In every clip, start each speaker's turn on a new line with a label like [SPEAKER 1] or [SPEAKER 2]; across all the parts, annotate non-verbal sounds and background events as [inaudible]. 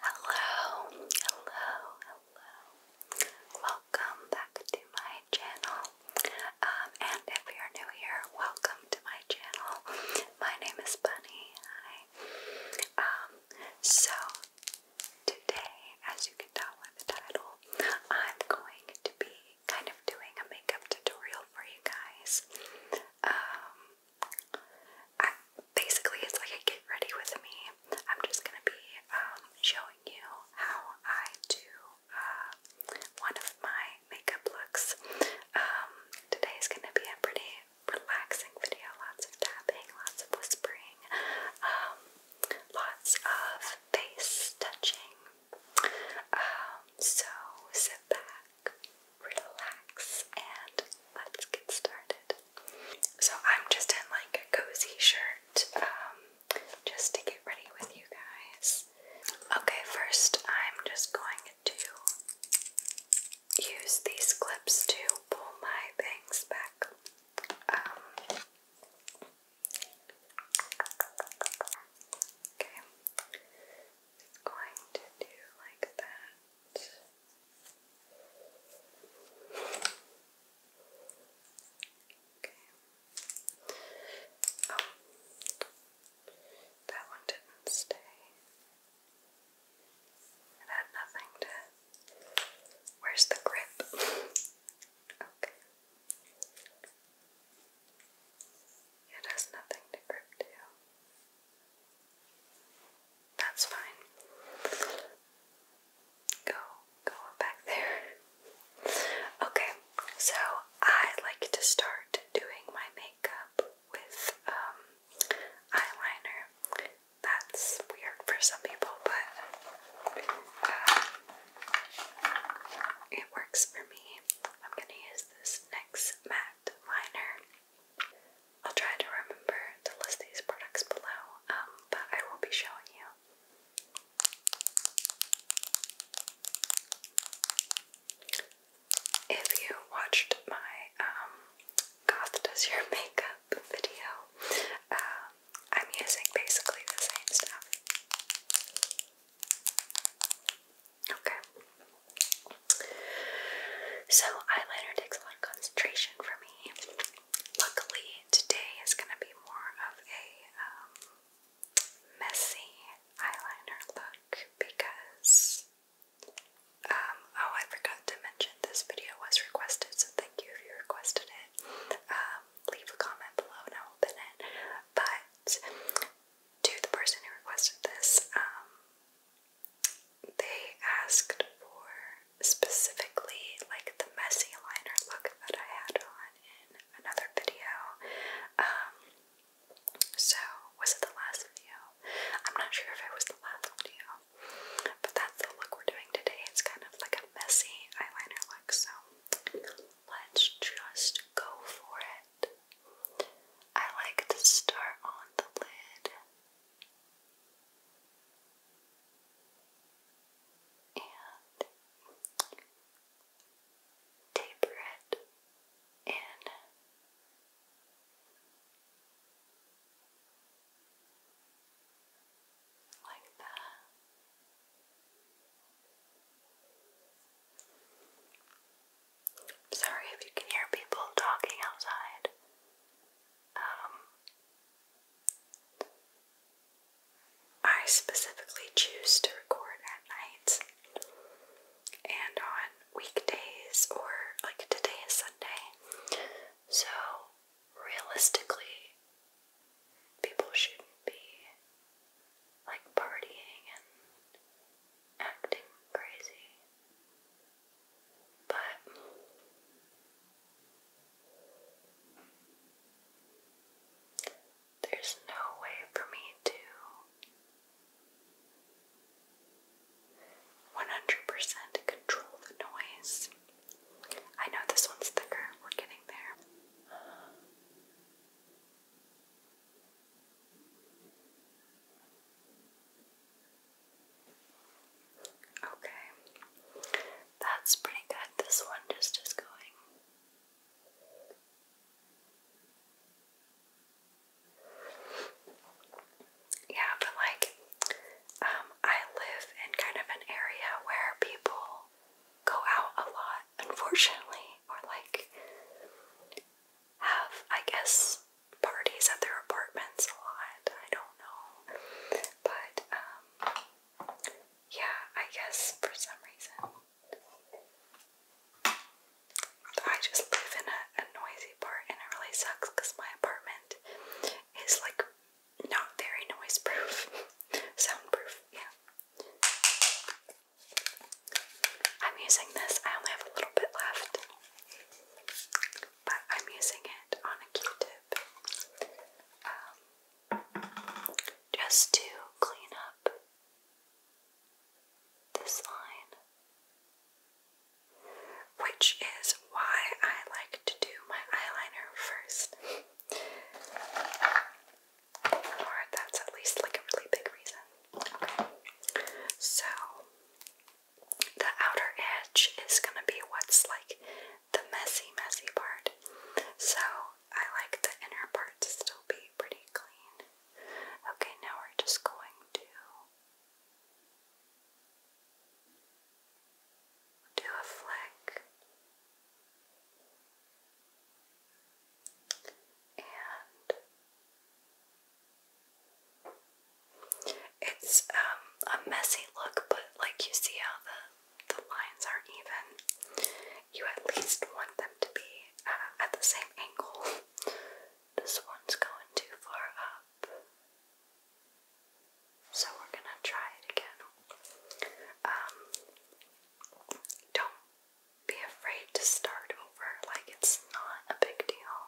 [SPEAKER 1] Hello, hello, hello. Welcome back to my channel. Um, and if you're new here, welcome to my channel. My name is Bunny. Hi. Um, so today, as you can tell by the title, I'm going to be kind of doing a makeup tutorial for you guys. Um, I, basically, it's like a get ready with me. I'm just gonna be um, showing you how I do uh, one of my makeup looks. Um, today's gonna be a pretty relaxing video. Lots of tapping, lots of whispering, um, lots of face touching. Um, so sit back, relax, and let's get started. So I'm just in like a cozy shirt, um, just to get ready with you guys. Okay, first I'm just going to use these clips to pull my bangs back. Um, okay, just going to do like that. Oh. That one didn't stay. It had nothing to. Where's the grip? [laughs] okay. It has nothing to grip to. That's fine. Go, go back there. Okay, so I like to start doing my makeup with um, eyeliner. That's weird for some people, but uh, it works for me. I'm gonna use this NYX matte liner. I'll try to remember to list these products below, um, but I will be showing you. If you watched my um, Goth Does Your Makeup video, uh, I'm using basically the same stuff. Okay. So, eyeliner takes a lot of concentration for me. Luckily, today is going to be more of a um, messy eyeliner look because. Um, oh, I forgot to mention this video was requested, so thank you if you requested it. Um, leave a comment below and I will open it. But to the person who requested this, they asked for specifically like the messy eyeliner look that I had on in another video. Um, so, was it the last video? I'm not sure if it was the last video, but that's the look we're doing today. It's kind of like a messy eyeliner look, so let's just go for it. I like to start on the lid and taper it in. Like that i sorry if you can hear people talking outside. Um, I specifically choose to record at night and on weekdays or like today is Sunday. So realistically, people shouldn't be like partying and acting crazy, but there's no way for me to 100% control the noise. I know this one's thicker, we're getting there. Okay, that's pretty good. This one just is going. Yeah, but like, um, I live in kind of an area where people go out a lot, unfortunately, or like have, I guess, parties at their apartments a lot. I don't know. But, um, yeah, I guess for some reason I just live in a, noisy part and it really sucks because my apartment is like not very noise proof, [laughs] sound proof. yeah. I'm using this, I only have a little bit left but I'm using it on a Q-tip um, just to clean up this line, which is why I like to do my eyeliner first. or that's at least like a really big reason. So the outer edge is going to be what's like the messy, messy part. So I like the inner part to still be pretty clean. Okay, now we're just going to do a flick and it's um, a messy look, but like you see how the, the lines aren't even. You at least want them to be uh, at the same angle. [laughs] This one's going too far up. So we're gonna try it again. Um, don't be afraid to start over, like it's not a big deal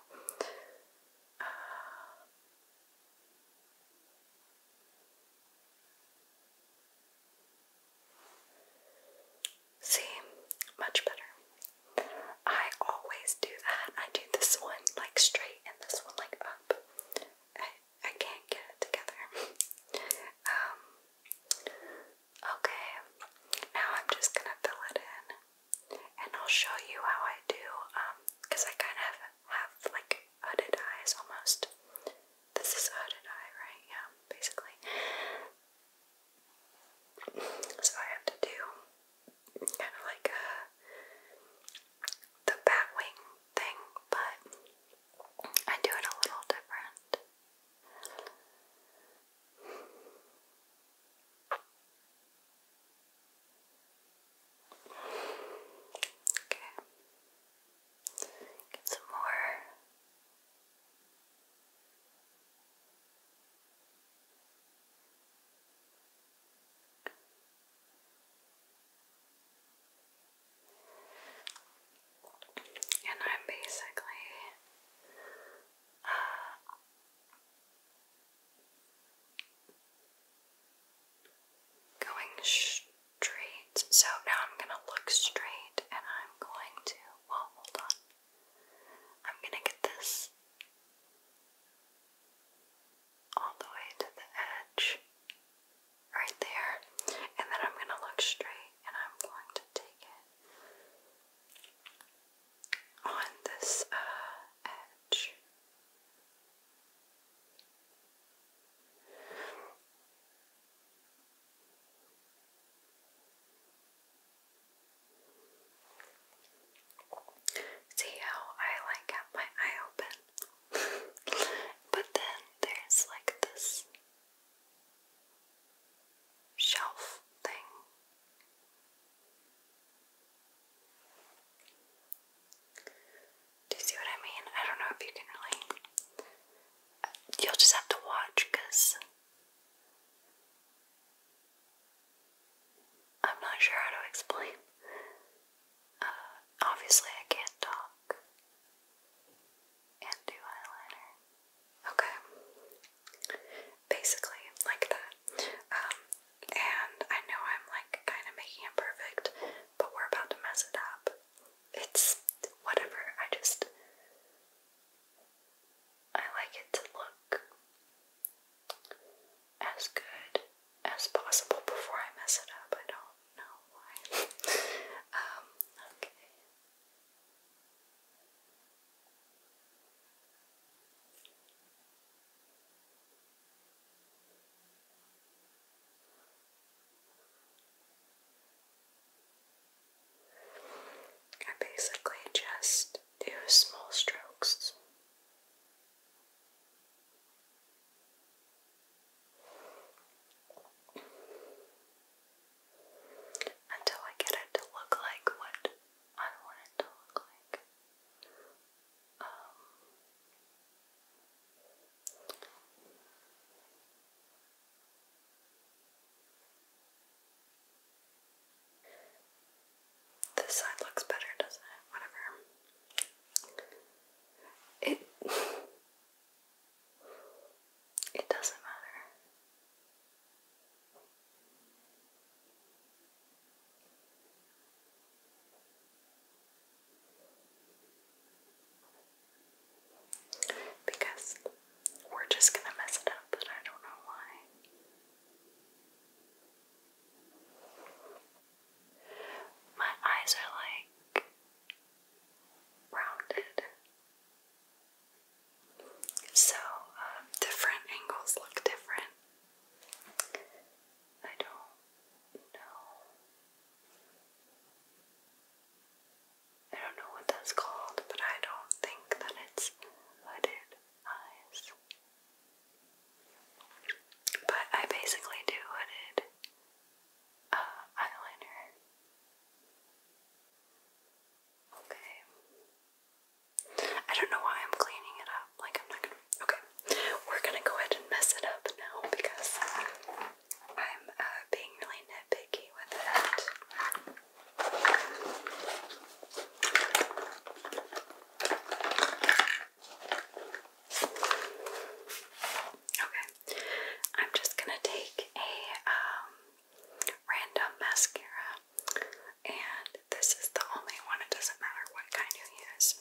[SPEAKER 1] see, much better. I always do that. I do this one like straight and this one like up. I, I can't get it together. [laughs] um, okay, now I'm just gonna fill it in and I'll show you how I do, because um, I kind of have like hooded eyes almost. This is a hooded eye, right? Yeah, basically. So I have to do kind of like a the bat wing thing, but I do it a little different. Okay. Get some more. And I'm basically uh, Going straight. So now I'm going to look straight and I'm going to. Well, hold on. I'm going to get this all the way to the edge right there. And then I'm going to look straight and I'm going to take it on this uh, edge. See how I like have my eye open? [laughs] but then there's like this shelf thing do you see what I mean? I don't know if you can really. You'll just have to watch because I'm not sure how to explain. Uh, obviously, I can't talk and do eyeliner. Okay, basically like that. Um, and I know I'm like kind of making it perfect, but we're about to mess it up. It's whatever. I just I like it to look as good as possible before I mess it up. I don't know why. [laughs] Um, okay. I basically just do small strokes. Until I get it to look like what I want it to look like. Um, this side looks better, doesn't it? Whatever. It [laughs] it doesn't matter. Because we're just going to mess it up, and I don't know why. My eyes are like rounded. So, um, different angles look different. I don't know. I don't know what that's called, but I don't think that it's hooded eyes. But I basically do hooded uh, eyeliner. Okay. I don't know why I'm cleaning it up. Like, I'm not gonna. Okay. We're gonna go ahead and mess it up now because I'm uh, being really nitpicky with it. Okay. I'm just gonna take a um, random mascara and this is the only one, it doesn't matter what kind you use.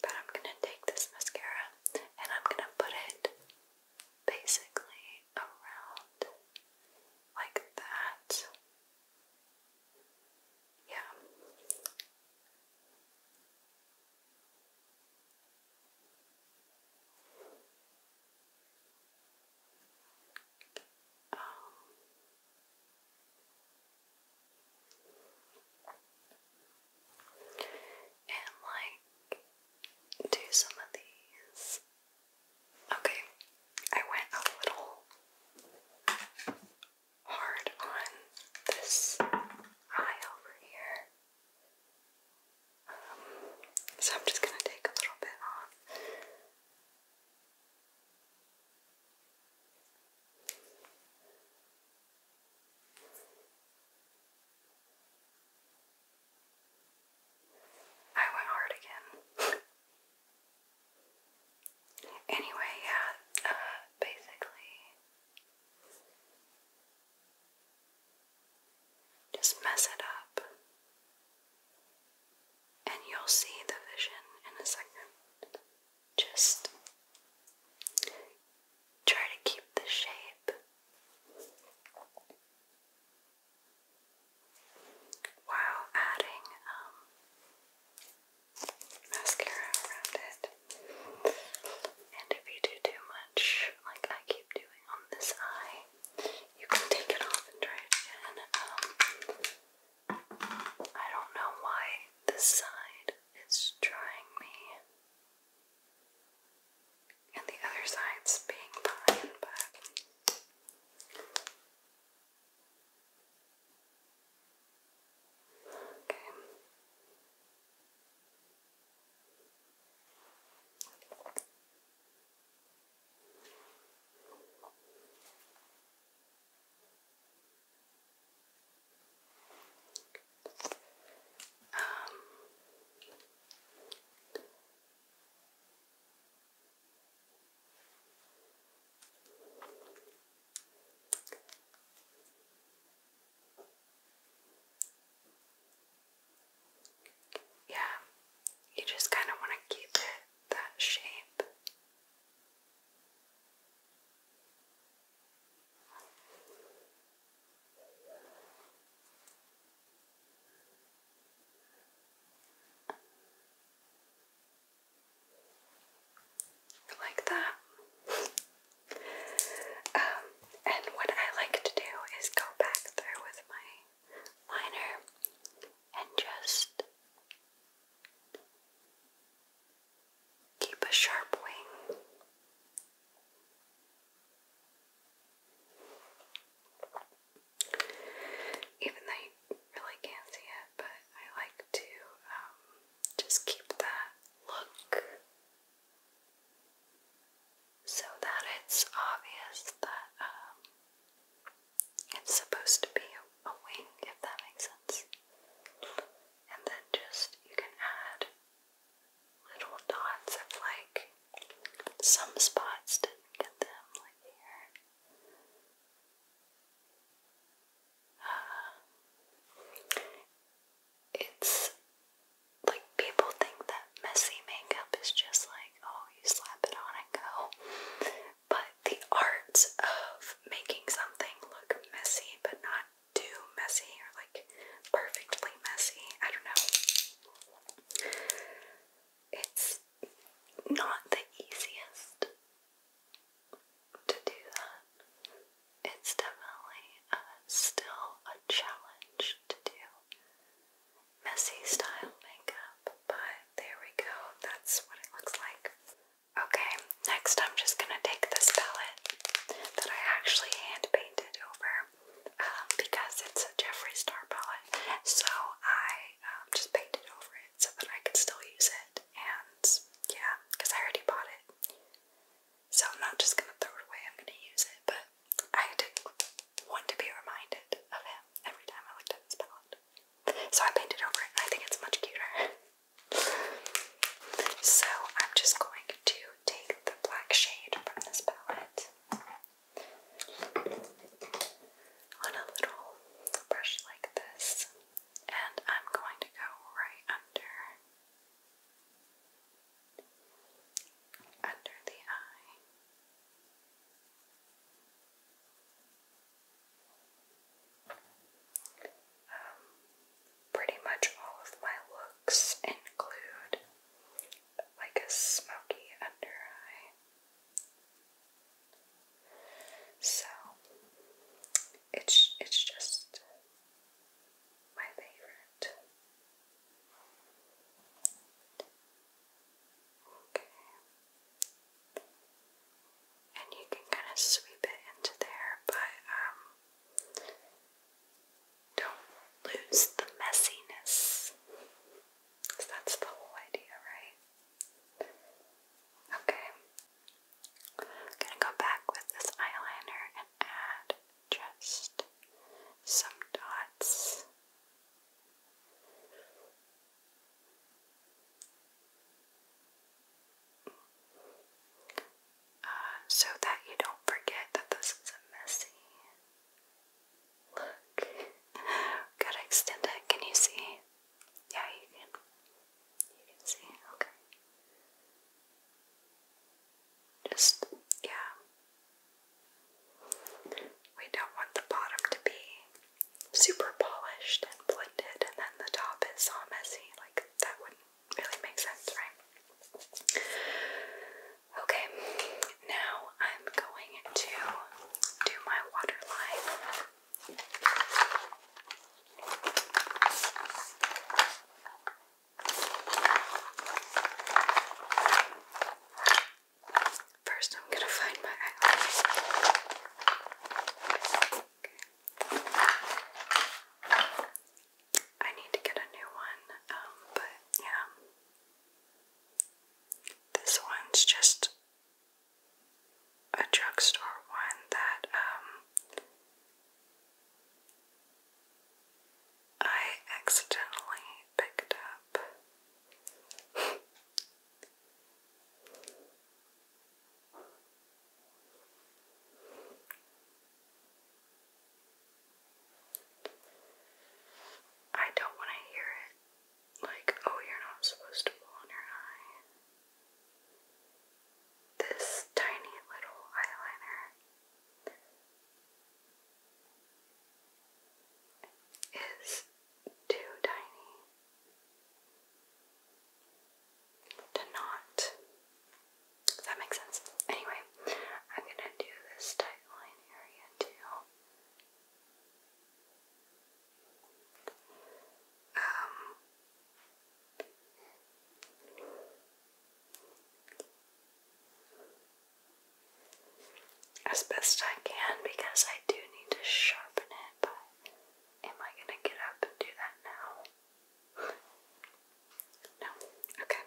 [SPEAKER 1] But I'm gonna take this mascara and I'm gonna put it basically around like that. Yeah. Um, and like do some of these. Okay, I went a little hard on this eye over here. Um, so I'm just gonna take a little bit off. I went hard again. anyway, yeah, uh, basically, just mess it up. And you'll see the vision in a second. Just try to keep the shape. While adding um, mascara around it, and if you do too much, like I keep doing on this eye, you can take it off and try again. Um, I don't know why this side is trying me. And the other side's being fine, but okay. Um, yeah, you just kind of want to keep it that shape. Like that. Um, and what I like to do is go back through with my liner and just keep a sharp wing. Even though you really can't see it, but I like to um, just keep that look so that it's obvious that um, it's supposed to be a, wing, if that makes sense. And then just, you can add little dots of like, some spots didn't get them, like here. Uh, it's like people think that messy makeup is just like, oh, you slap it on and go. But the art of making something look messy but not too messy or like perfectly messy, I don't know. It's not the easiest to do that. It's definitely uh, still a challenge to do messy style makeup, but there we go. That's what it looks like. Okay, next I'm just gonna take this palette that I actually hand painted over um, because it's a Jeffree Star palette. So I um, just painted over it so that I can still use it. And yeah, because I already bought it. So I'm not just gonna throw it away, I'm gonna use it. But I did to be reminded of him every time I looked at this palette. So I painted over it. I think it's much cuter. [laughs] so I'm just going to take the black shade from this palette on a little brush like this, and I'm going to go right under under the eye. Um, pretty much all of my looks include like a smoky under eye. So it's it's just my favorite. Okay and you can kind of sweep it into there, but um, don't lose the messiness. that's the whole idea, right? Okay. I'm gonna go back with this eyeliner and add just some dots. Uh, so that you don't forget that this is a messy look. [laughs] Gotta extend it. Can you see? Yeah, you can. You can see. Okay. Just, yeah. We don't want the bottom to be super polished and blended, and then the top is all messy. Like, that wouldn't really make sense, right? Okay, now I'm going to do my waterline. First, I'm gonna find my eyeliner. I need to get a new one, um, but yeah. This one's just a drugstore one that, um, I accidentally picked up. [laughs] I don't want to hear it. Like, oh, you're not supposed to pull on your eye. This tiny little eyeliner is too tiny to not. Does that make sense? Anyway, I'm gonna do this tight area too. Um as best I can because I do need to sharpen it, but am I going to get up and do that now? [laughs] no. Okay.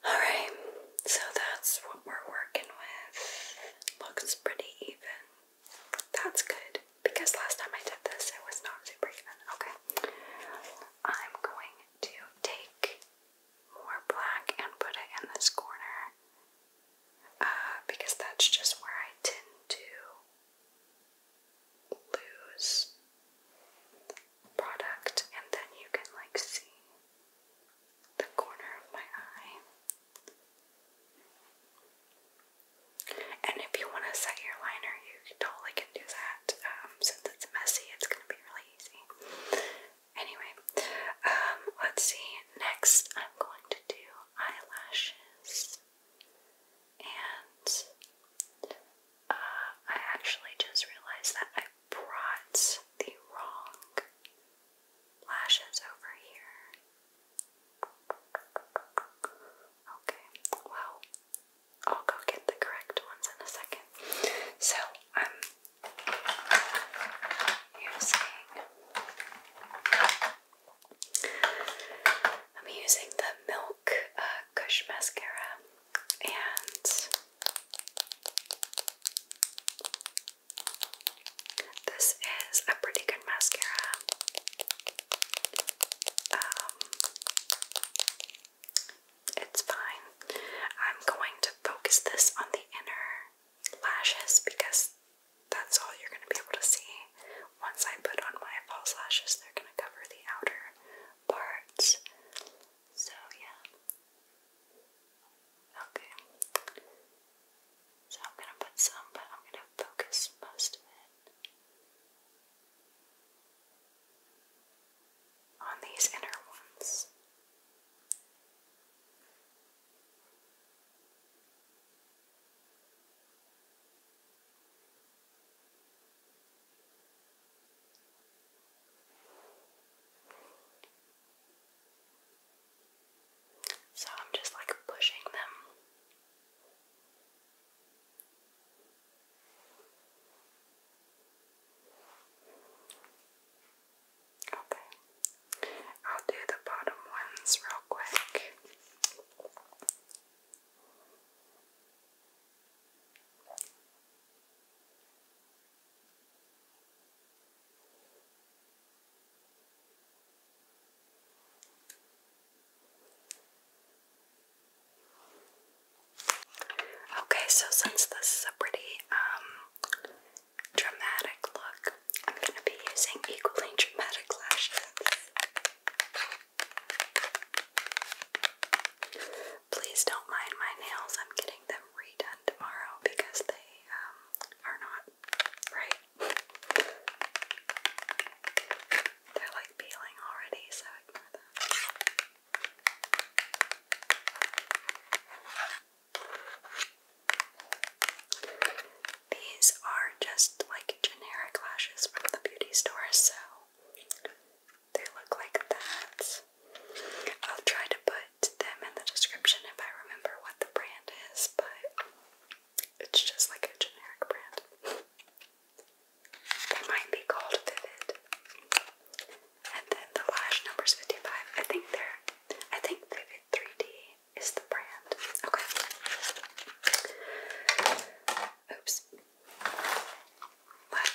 [SPEAKER 1] Alright, so that's what we're working with. Looks pretty even. That's good because last time I did this it was not super even. Okay. I'm going to take more black and put it in this corner uh, because that's just where I tend to lose product and then you can like see the corner of my eye. And if you want to set your liner, you totally can do that. Um, since it's messy, it's going to be really easy. Anyway, um, let's see. Next, I'm going to do eyelashes. And uh, I actually just realized that I brought the wrong lashes over here. Okay, well, I'll go get the correct ones in a second. So, I'm I'm using the Milk uh, Kush mascara and this is a pretty good mascara. Um, it's fine. I'm going to focus this on the inner lashes because that's all you're going to be able to see. Once I put on my false lashes, they're going to cover the outer parts. So, yeah. Okay. So, I'm going to put some, but I'm going to focus most of it on these inner ones. So I'm just like pushing them. Okay, I'll do the bottom ones real quick. Okay, so since this is a pretty um dramatic look. I'm going to be using equally dramatic lashes. Please don't mind my nails. I'm getting them redone tomorrow because they um, are not right. They're like peeling already, so ignore them. These are just like generic lashes from the beauty store, so they look like that. I'll try to put them in the description if I remember what the brand is, but it's just like a generic brand. They might be called Vivid and then the lash numbers 55. I think they're, I think Vivid 3D is the brand. Okay. Oops. Let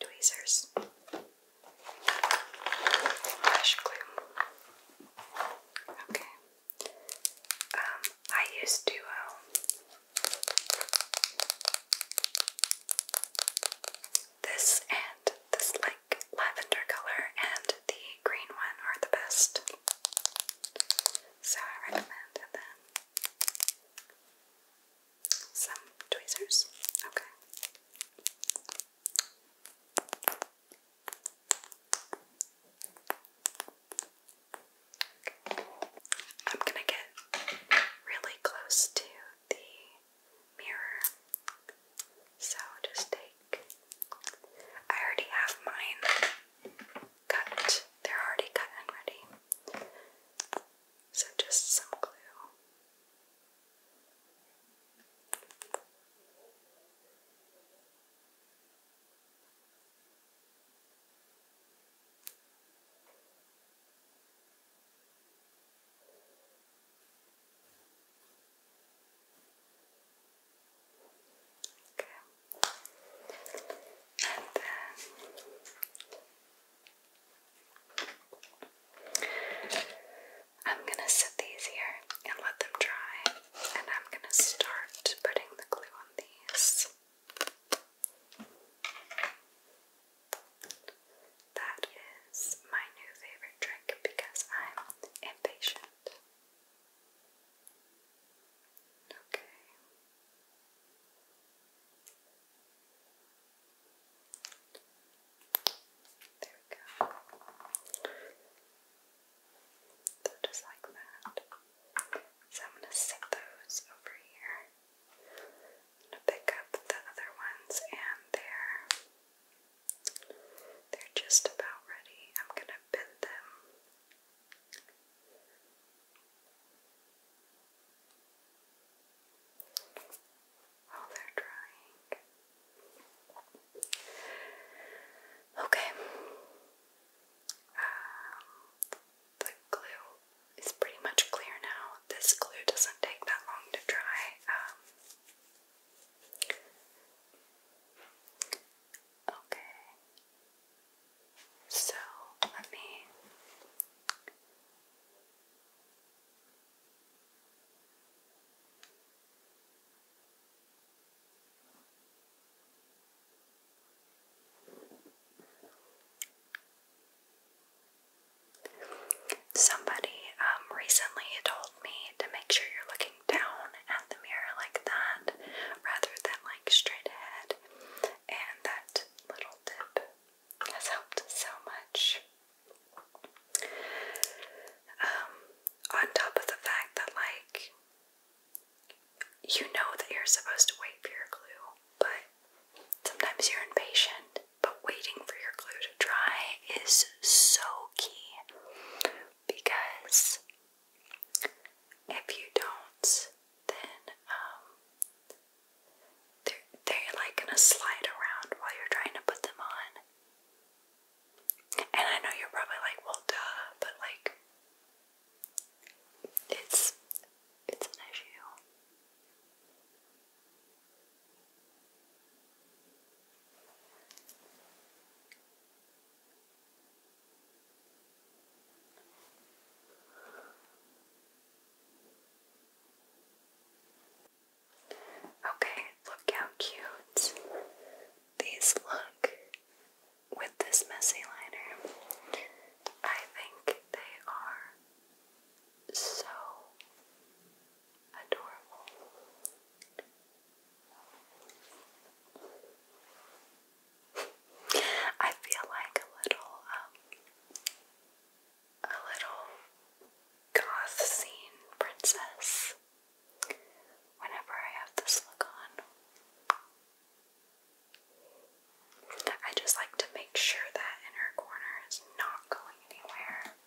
[SPEAKER 1] Tweezers. Fresh glue. Okay. Um, I use Duo. This and this like lavender color and the green one are the best. So I recommend them. Some tweezers? Okay. I'm gonna get really close to the mirror, so just take. I already have mine cut, they're already cut and ready. So just some glue. Okay. And then I'm gonna set these here and let them dry, and I'm gonna start putting the glue on these. That is my new favorite trick because I'm impatient. Okay. There we go. just like that. So I'm going to stick those over here. going to pick up the other ones and they they're just about ready. I'm going to bend them while they're drying. Okay. Um, the glue is pretty much clear now. This glue doesn't take that long to dry. Um, okay. So let me Somebody um, recently told me to make sure you're looking down at the mirror like that rather than like straight ahead and that little tip has helped so much. Um, on top of the fact that, like, you know that you're supposed to wait for your glue, but sometimes you're impatient, but waiting for your glue to dry is so key because if you don't, then um, they're, they like gonna slide around while you're trying to put them on. And I know you're probably like, well, duh, but like, it's it's an issue. Okay, look how cute these look with this messy liner. I think they are so adorable. I feel like a little, um, a little goth scene princess whenever I have this look on. I just like to make sure that inner corner is not going anywhere.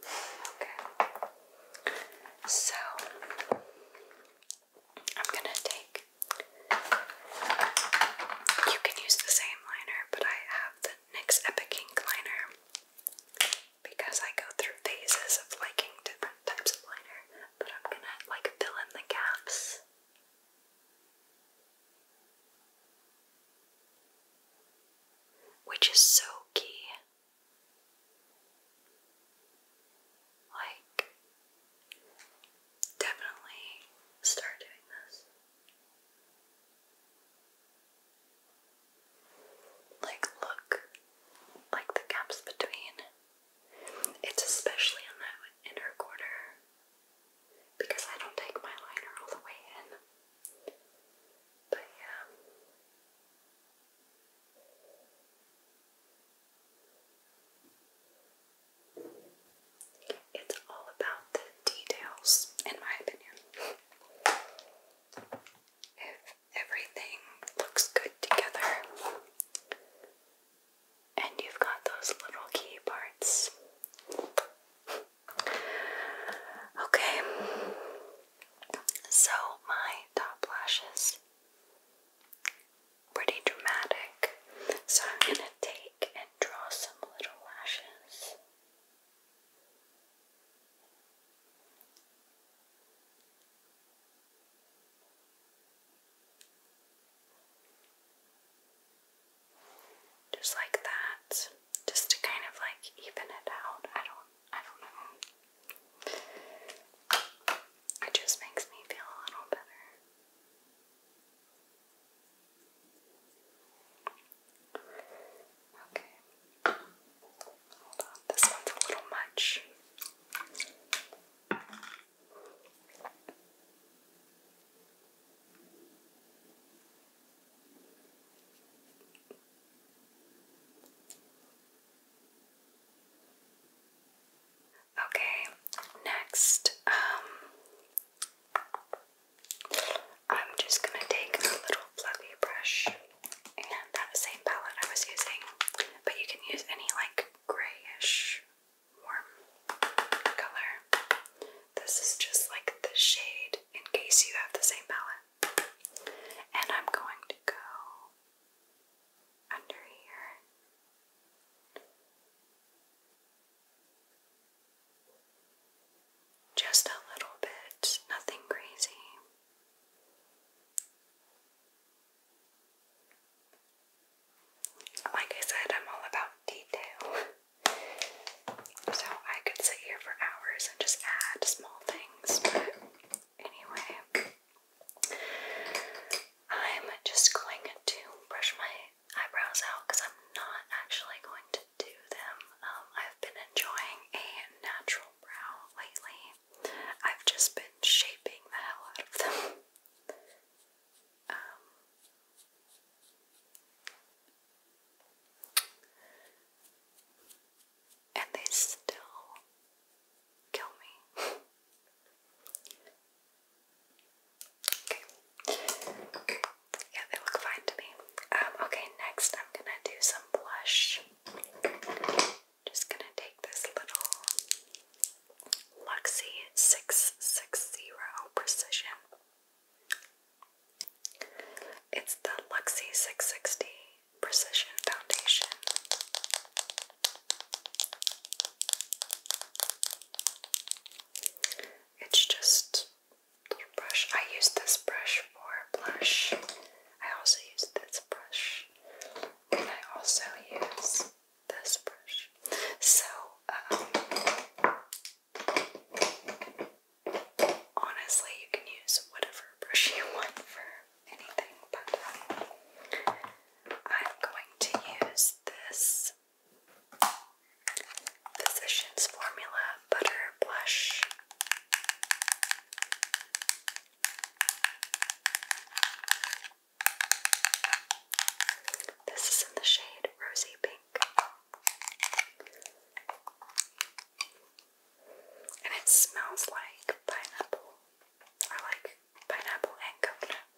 [SPEAKER 1] Okay. So I'm gonna take. You can use the same liner, but I have the NYX Epic Ink liner because I go through phases of liking different types of liner. But I'm gonna like fill in the gaps which is so key. Like, definitely start doing this. Like, look, like the gaps between. It's especially in that inner quarter because I don't take my liner all the way in. But yeah. It's all about the details, in my opinion. if everything looks good together and you've got those little key parts, Okay, so my top lashes pretty dramatic. So I'm gonna take and draw some little lashes. Just like that. Just to kind of like even it out. I don't I don't know. It just makes me feel a little better. Okay. Hold on. This one's a little much. Okay, next, um, I'm just going to take a little fluffy brush and that same palette I was using, but you can use any like grayish warm color. This is just like the shade in case you have the same palette. And I'm going to go under here. Just a little bit, nothing crazy. Like I said, I'm all about detail. [laughs] So I could sit here for hours and just add small things, but anyway, I'm just going to brush my eyebrows out because I'm not actually going to do them. Um, I've been enjoying a natural brow lately, I've just been shaping the hell out of them. [laughs] Um, and they still kill me. okay. Yeah, they look fine to me. Um, okay, next I'm gonna do some blush. Just gonna take this little Luxie 660 Precision it's the Luxie 660 Precision Foundation. It's just a brush. I use this brush for blush. I also use this brush. I also use this brush. So, um, Honestly, you can use whatever brush you want for anything, but I'm going to use this Physicians Formula Butter Blush. This is in the shade Rosy Pink. And it smells like pineapple. I like pineapple and coconut.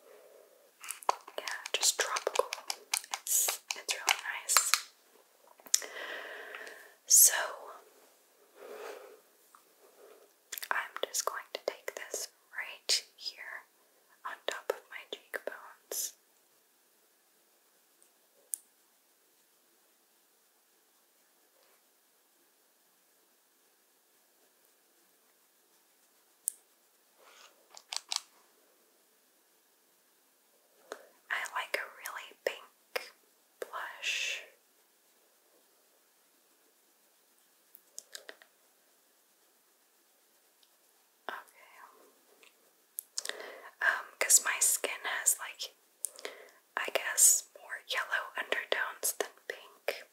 [SPEAKER 1] Yeah, just tropical. It's it's really nice. So I'm just going to take this right here on top of my cheekbones I like a really pink blush. Okay. Um, because my skin has like, I guess, more yellow undertones than pink.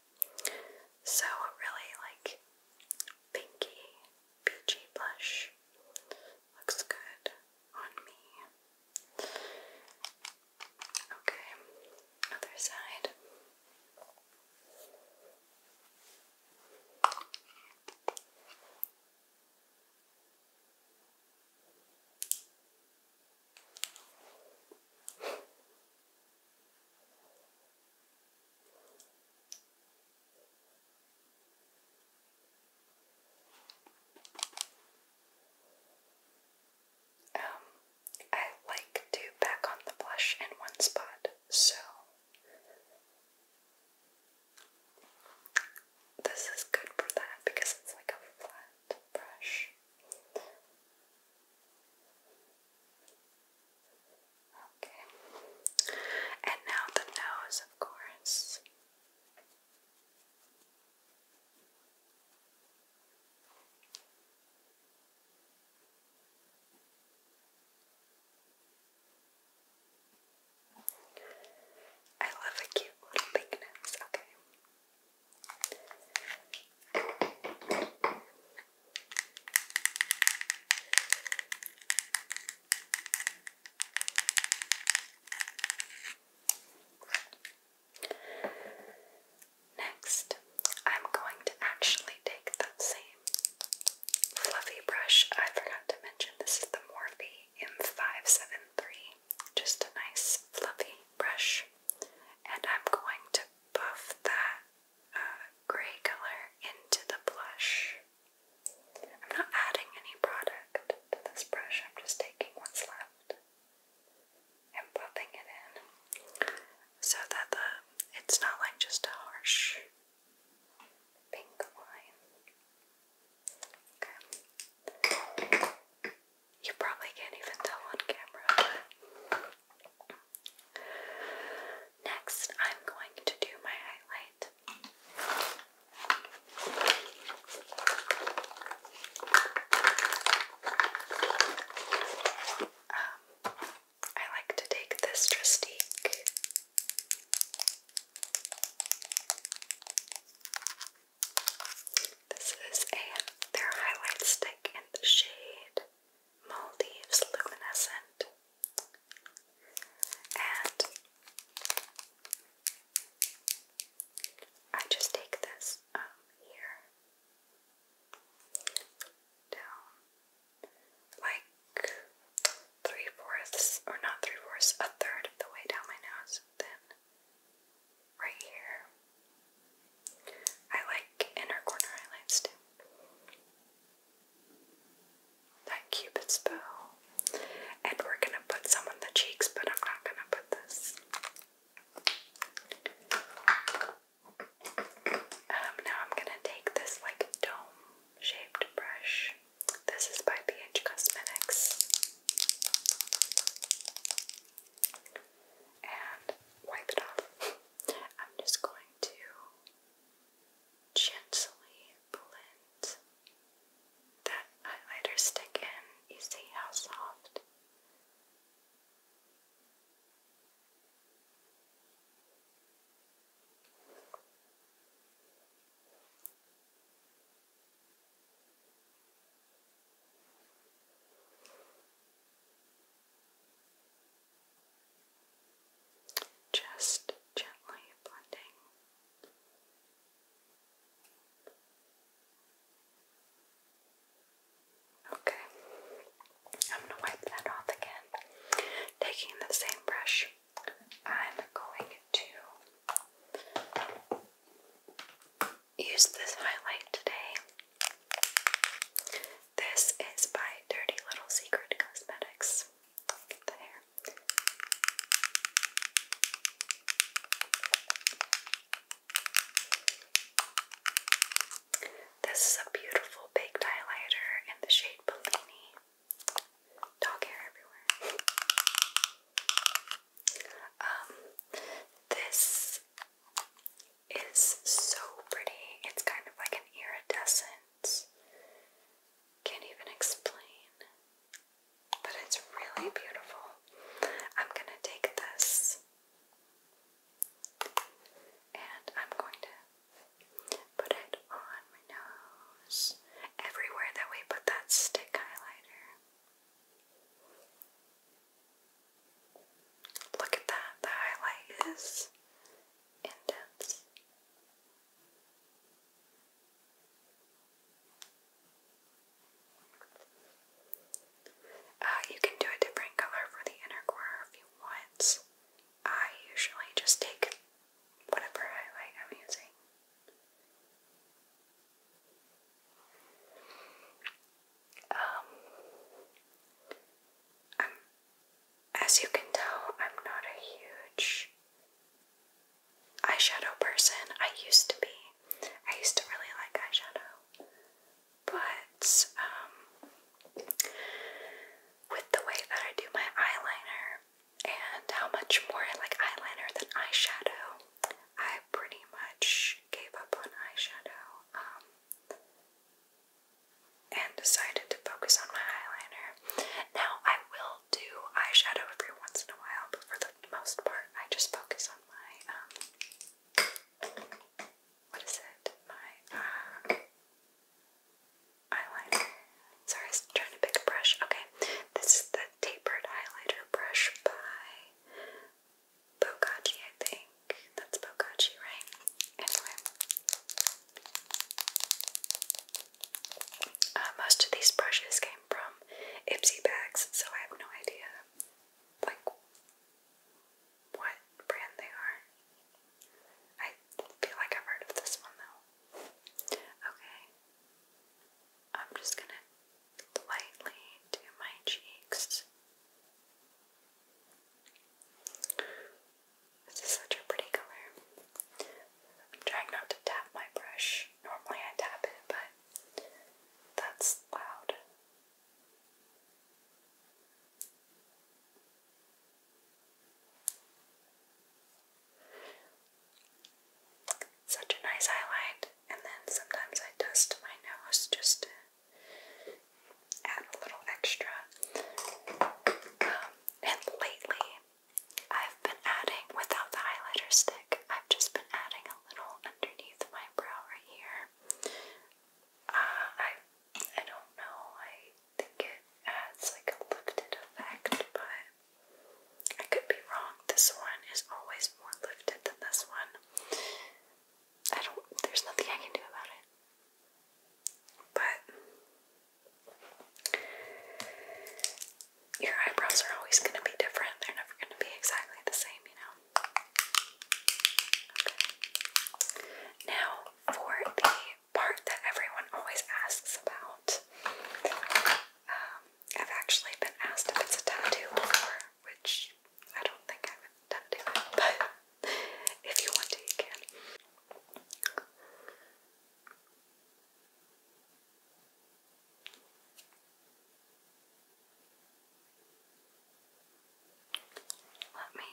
[SPEAKER 1] So really like pinky, peachy blush looks good on me. Okay, other side. Um, I like to back on the blush in one spot, so this is good for that because it's like a flat brush. Okay. And now the nose, of course. I love a cute little big nose, okay. Next, I'm going to actually take that same fluffy brush. I forgot to mention this is the Morphe in 573, just a nice fluffy brush, and I'm going to buff that uh, gray color into the blush. I'm not adding any product to this brush, I'm just taking what's left and buffing it in so that the it's not like just a harsh pink line. Okay. You probably can't even tell on camera. Next, I'm going to do my highlight. Um, I like to take this Tristique this is a their highlight stick in the shade Maldives Luminescent. And I just take this um, here down like three fourths, or not three fourths, a third of the way down my nose, then right here. I like inner corner highlights too. That Cupid's bow. And we're gonna put some on the cheeks, but I'm not gonna put this. Um, now I'm gonna take this like dome shaped brush this is by BH Cosmetics. And wipe it off. [laughs] I'm just going to gently blend that highlighter stick in. You see how soft? Just gently blending. Okay, I'm going to wipe that off again. Taking the same brush I'm going to use this highlight today. This is by Dirty Little Secret Cosmetics. Get the hair. This is a beautiful big highlighter in the shade Bellini. Dog hair everywhere. um, this is so pretty. It's kind of like an iridescent. Can't even explain. But it's really beautiful. I'm gonna take this and I'm going to put it on everywhere that we put that stick highlighter. Look at that, the highlight is intense. Uh, you can do a different color for the inner corner if you want. I usually just take whatever highlight I'm using um, as you can tell, I'm not a huge eyeshadow person. I used to be. I used to really like eyeshadow. But, um, with the way that I do my eyeliner, and how much more I like eyeliner than eyeshadow. I pretty much gave up on eyeshadow um, and decided to focus on my eyeliner. Now, I will do eyeshadow every once in a while, but for the most part, I just focus on my, um, what is it? My, uh, eyeliner. Sorry, trying to pick a brush. Okay, this is the tapered highlighter brush by Bokachi, I think. That's Bokachi, right? Anyway. Uh, most of these brushes came from Ipsy bags, so I have no idea like what brand they are. I feel like I've heard of this one though. Okay, I'm just going to lightly do my cheeks. This is such a pretty color. I'm trying not to tap my brush. Normally I tap it, but that's loud. Such a nice highlight, and then sometimes I dust my nose just to add a little extra. Um, and lately, I've been adding without the highlighter stick, I've just been adding a little underneath my brow right here. Uh, I I don't know, I think it adds like a lifted effect, but I could be wrong. This one is always more lifted than this one. I don't, there's nothing I can do about it. But your eyebrows are always going to be different. They're never going to be exactly the same, you know? Now, for the part that everyone always asks about, um, I've actually been asked if it's a tattoo before, which I don't think I would tattoo [laughs] but if you want to, can. Let me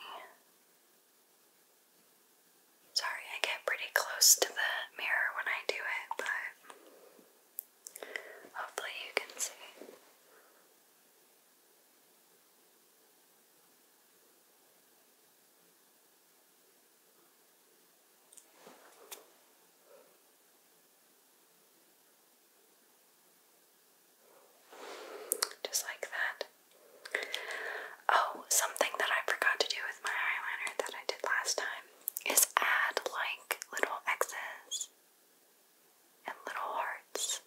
[SPEAKER 1] Sorry, I get pretty close to the mirror when I do it, but hopefully you can see. Just like that. Oh, something that I forgot to do with my eyeliner that I did last time is add like little X's and little hearts.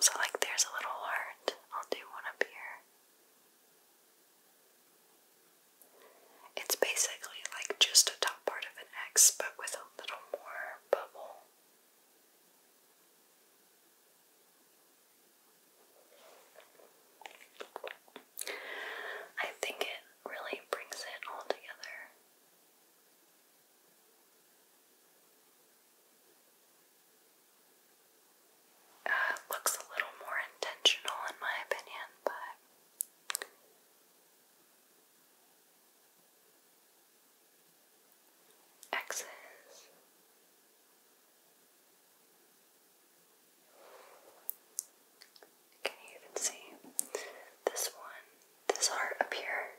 [SPEAKER 1] So, like, there's a little heart. I'll do one up here. It's basically like just a top part of an X, but with a little more bubble. I think it really brings it all together. Uh, looks a little more intentional, in my opinion, but. X's can you even see? This one, this heart up here,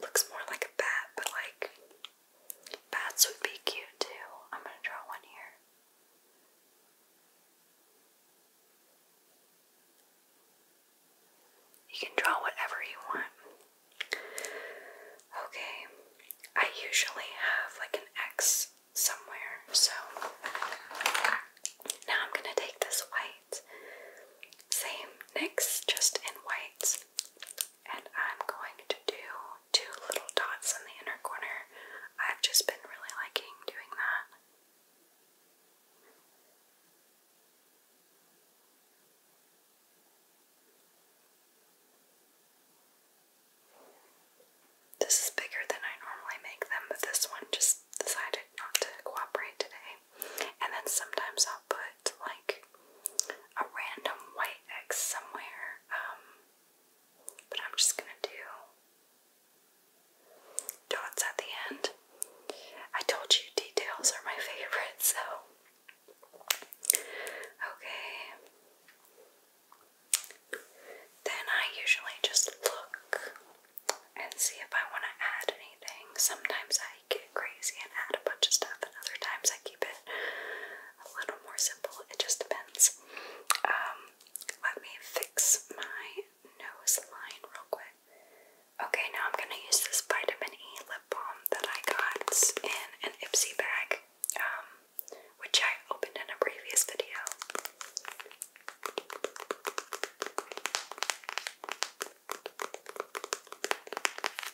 [SPEAKER 1] looks more like a bat, but like bats would be cute too. I'm gonna draw one here. You can draw whatever you want. Okay, I usually have like an X somewhere. So now I'm going to take this white, same NYX, just in whites, and I'm going to do two little dots in the inner corner. I've just been really liking doing that. This is bigger than I normally make them, but this one just decided not to cooperate today. And then sometimes I'll put like a random white X somewhere, um, but I'm just gonna do dots at the end. I told you details are my [laughs] favorite, so. Okay. Then I usually just look and see if I want to add anything. Sometimes I get crazy and add a bunch of stuff, and other times I keep it a little more simple. It just depends. Um, let me fix my nose line real quick. Okay, now I'm going to use this vitamin E lip balm that I got in an Ipsy bag. Um, which I opened in a previous video.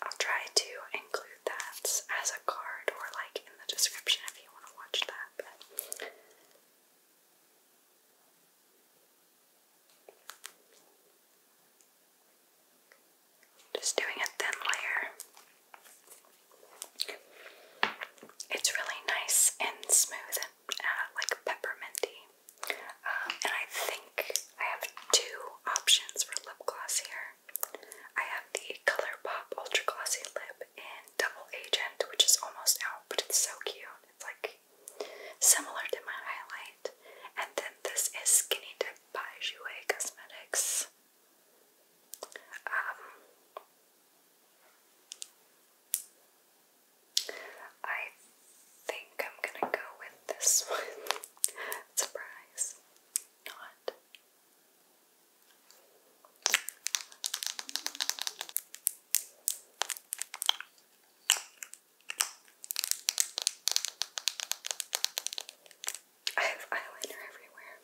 [SPEAKER 1] I'll try to include that as a card or like in the description if you want to watch that. just doing a thin layer. It's really nice and smooth and uh, like pepperminty. Um, and I think I have two options for lip gloss here. I have the ColourPop Ultra Glossy Lip in Double Agent, which is almost out, but it's so cute. It's like similar to my highlight. And then this is Skinny Dip by Jouer Cosmetics. Um, I think I'm gonna go with this one. [laughs] Surprise. Not. I have eyeliner everywhere.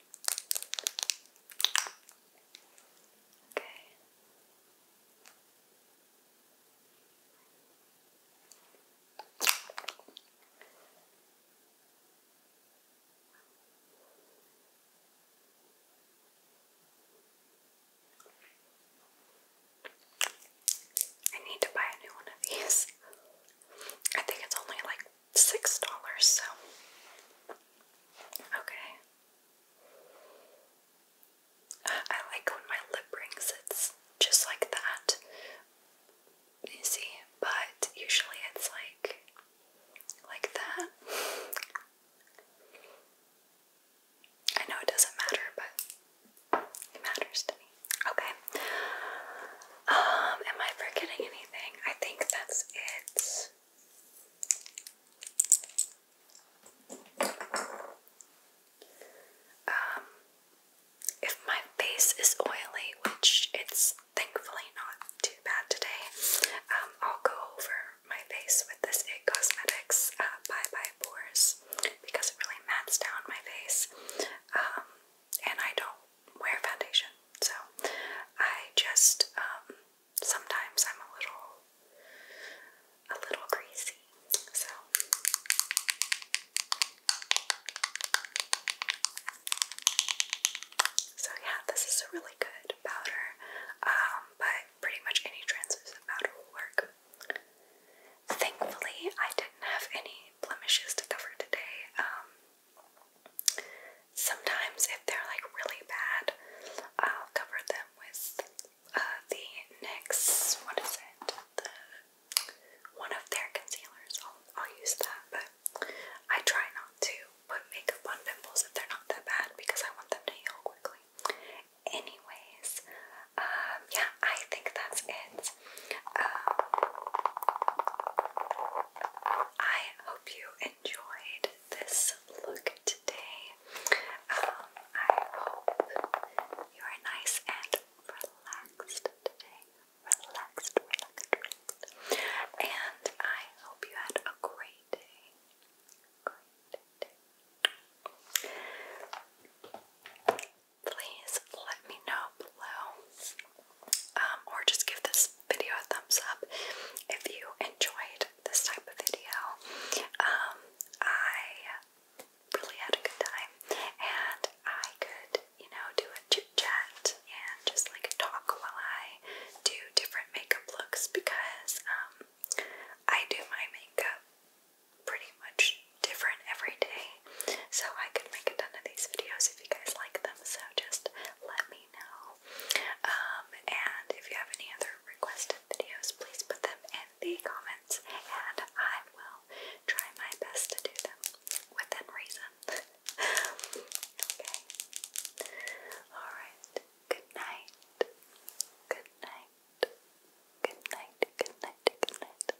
[SPEAKER 1] Okay. I need to buy a new one of these. [laughs] I think it's only like six dollars, so okay. I like when my lip rings, it's just like that. You see, but usually it's like like that. I know it doesn't matter, but it matters to me. Okay. Um, am I forgetting anything? I think that's it. Um, if my face is oily, which it's thankfully not too bad today, um, I'll go over my face with this It Cosmetics uh, Bye Bye Pores because it really mattes down my face. Um, and I don't wear foundation. So I just um, sometimes I'm a little a little greasy. So so yeah, this is a really good powder, um, but pretty much any translucent powder will work. Thankfully, I didn't have any blemishes to cover today. Um, Sometimes, if they're like really bad, I'll cover them with uh, the NYX, what is it? one of their concealers. I'll, use that, but I try not to put makeup on pimples if they're not that bad because I want them to heal quickly. Anyways, um, yeah, I think that's it. Um, I hope you enjoyed this look today. Um, I hope you are nice and relaxed today. Relaxed, relaxed, And I hope you had a great day. Great day. Please let me know below. Um, or just give this video a thumbs up if you enjoyed this type of video. Um, I really had a good time, and I could, you know, do a chit chat and just like talk while I do different makeup looks because um, I do my makeup pretty much different every day. So I could make a ton of these videos if you guys like them. So just let me know channel. Um, and if you have any other requested videos, please put them in the comments and I will try my best to do them within reason. [laughs] okay. Alright. Good night. Good night. Good night. Good night. Good night.